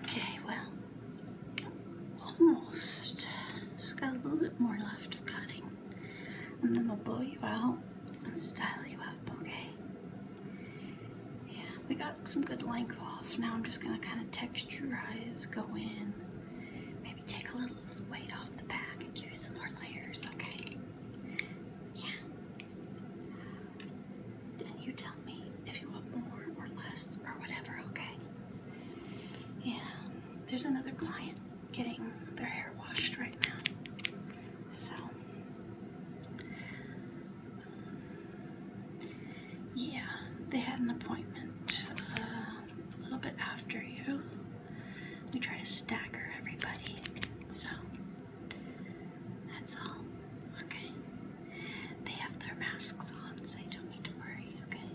Okay, well, almost. Just got a little bit more left of cutting. And then we'll blow you out and style you up, okay? Yeah, we got some good length off. Now I'm just going to kind of texturize, go in, maybe take a little of the weight off the back and give you some more layers, okay? Yeah. Then you tell me if you want more or less or whatever, okay? And there's another client getting their hair washed right now. So, yeah, they had an appointment uh, a little bit after you. We try to stagger everybody, so that's all. Okay. They have their masks on, so I don't need to worry, okay?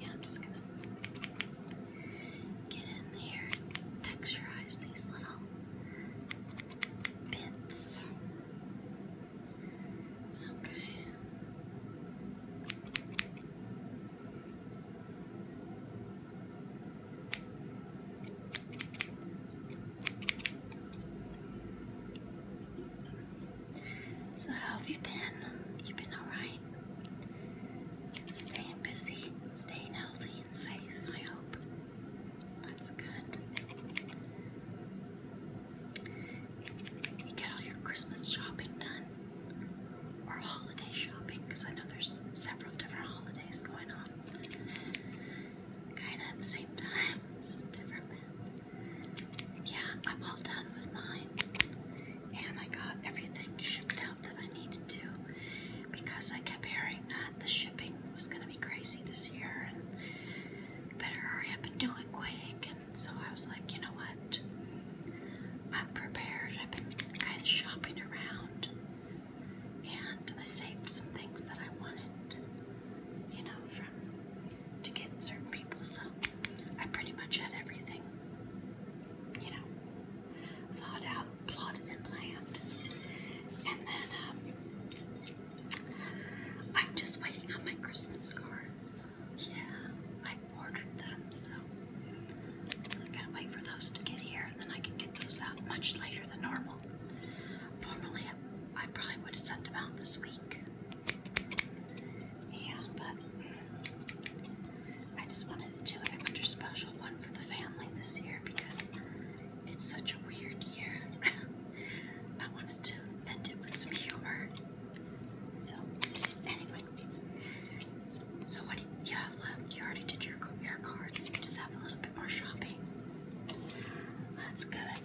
Yeah, I'm just gonna get in there and texturize these little bits. Okay. So how have you been? You been alright? Staying busy, staying healthy and safe, I hope. That's good. You get all your Christmas shopping done. Or holiday shopping, because I know there's several different holidays going on kind of at the same time. different, yeah, I'm all done with mine, and I got everything shipped out that I needed to because I kept hearing that the shipping was going to be crazy this year, and better hurry up and do it quick. And so I was like, you know what? I'm prepared. I've been kind of shopping around and I saved some things that I wanted, you know, from to get certain people. So I pretty much had everything, you know, thought out, plotted, and planned. And then um, I'm just waiting on my Christmas cards. Yeah, I ordered them, so I gotta wait for those to get here, and then I can get those out much later than normal. Normally, I, probably would have sent them out this week. Yeah, but mm, I just wanted to do an extra special one for the family this year because it's such a weird year. I wanted to end it with some humor. So, anyway. So, what do you have left? You already did your, your cards. You just have a little bit more shopping. That's good.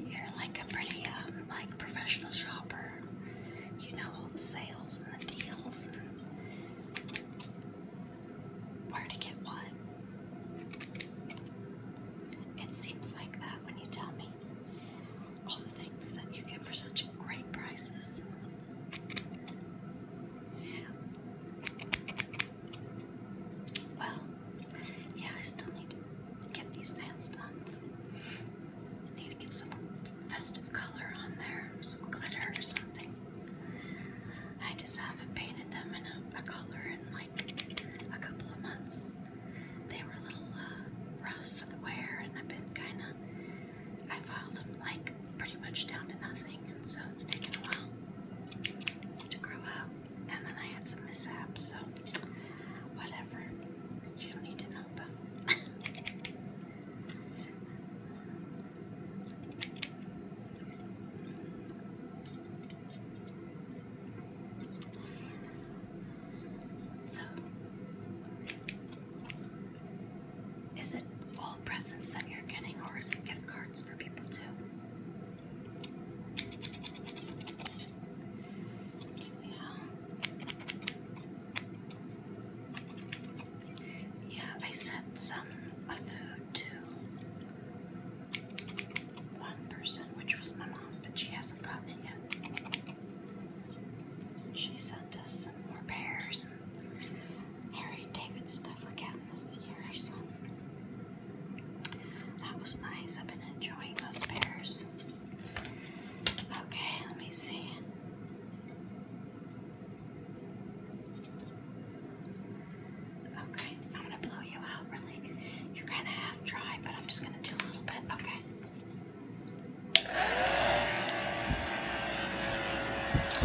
You're like a pretty um, like professional shopper. You know all the sales and the deals and where to get what. It seems like that when you tell me all the things that you get for such great prices. Well, yeah, I still need to get these nails done. Need to get some festive color on there, some glitter or something. I just haven't painted them in a, color in like a couple of months. They were a little uh, rough for the wear, and I've been kind of. I filed them like pretty much down to nothing, and so it's taken a while to grow up. And then I had some mishaps, so whatever. You don't need to know about. So, is it all presents that you're getting, or gift cards for people too. Yeah. I sent some of food one person, which was my mom, but she hasn't gotten it yet. She sent us some more pears Harry David stuff going this year, so that was nice. I've been enjoying those pairs. Okay, let me see. Okay, I'm gonna blow you out really. You're kind of half dry, but I'm just gonna do a little bit. Okay.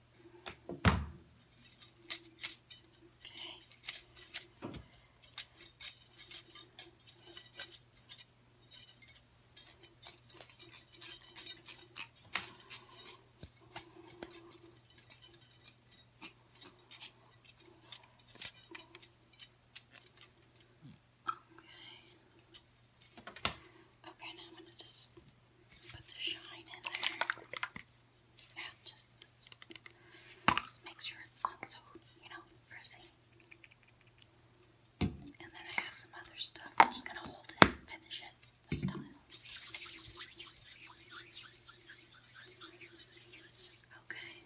Okay. Okay. Okay, now I'm gonna just put the shine in there. And just just make sure it's not so, you know, frizzy. And then I have some other stuff. I'm just gonna hold it and finish it this time. Okay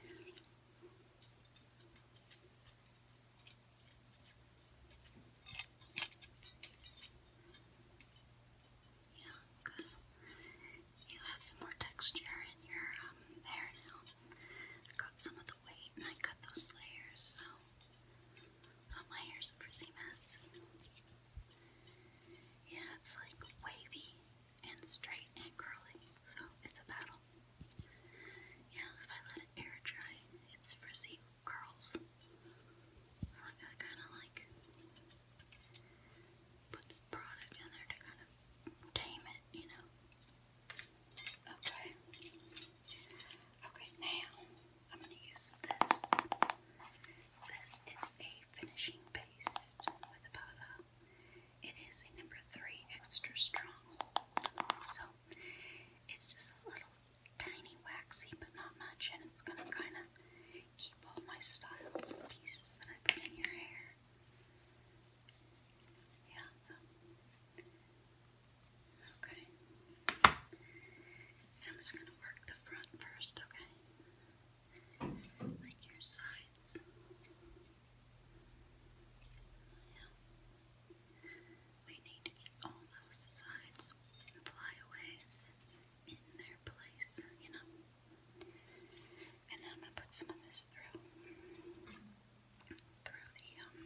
you you have some more texture in your um, hair now. I got some of the weight and I cut those layers, so oh, my hair's a mess. Yeah, it's like wavy and straight and curly, so it's a battle. Yeah, if I let it air dry, it's frizzy curls. I kinda like puts Okay. Okay, now I'm going to use this. This is a finishing paste with a powder. It is a number three extra strong. So it's just a little tiny waxy, but not much, and it's going to kind of keep all my styles and pieces that I put in your hair. Yeah, so. Okay. I'm just going to work the front first, okay? Like your sides. Yeah. We need to get all those sides flyaways in their place, you know? And then I'm going to put some of this through, through the um,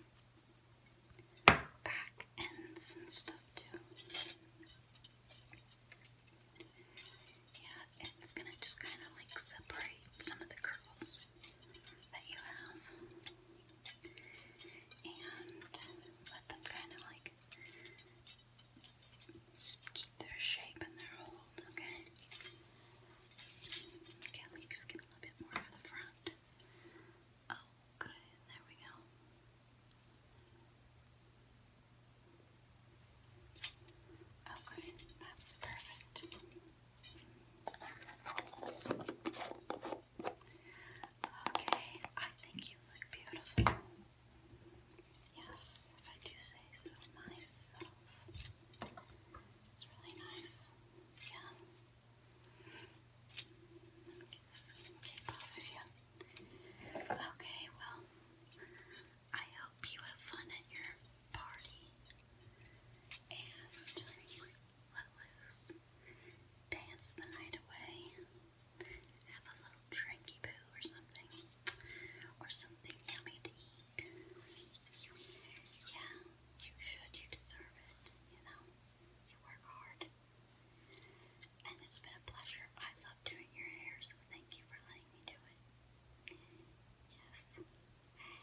back ends and stuff too. Yeah, it's going to just kind of like separate some of the curls that you have. And let them kind of like just keep their shape and their hold, okay? Okay, let just get a little bit more for the front. Oh, good. There we go. Okay, that's perfect. Okay, I think you look beautiful. Yes, if I do say so myself. It's really nice. Yeah. Let me get this tape off of you. Okay, well, I hope you have fun at your party. And let loose. Dance the night away. Have a little drinky poo or something. Or something yummy to eat. Yeah, you should. You deserve it. You know, you work hard. And it's been a pleasure. I love doing your hair, so thank you for letting me do it. Yes.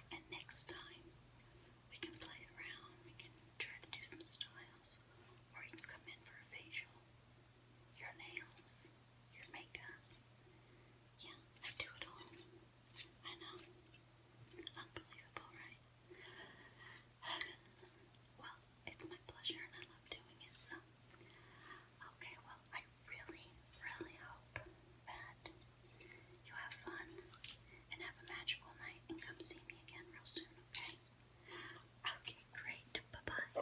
And next time, we can play around. We can try to do some styles. Or you can come in for a facial. Your nails your makeup. Yeah, I do it all. I know. Unbelievable, right? well, it's my pleasure and I love doing it, so. Okay, well, I really, really hope that you have fun and have a magical night and come see me again real soon, okay? Okay, great. Bye bye.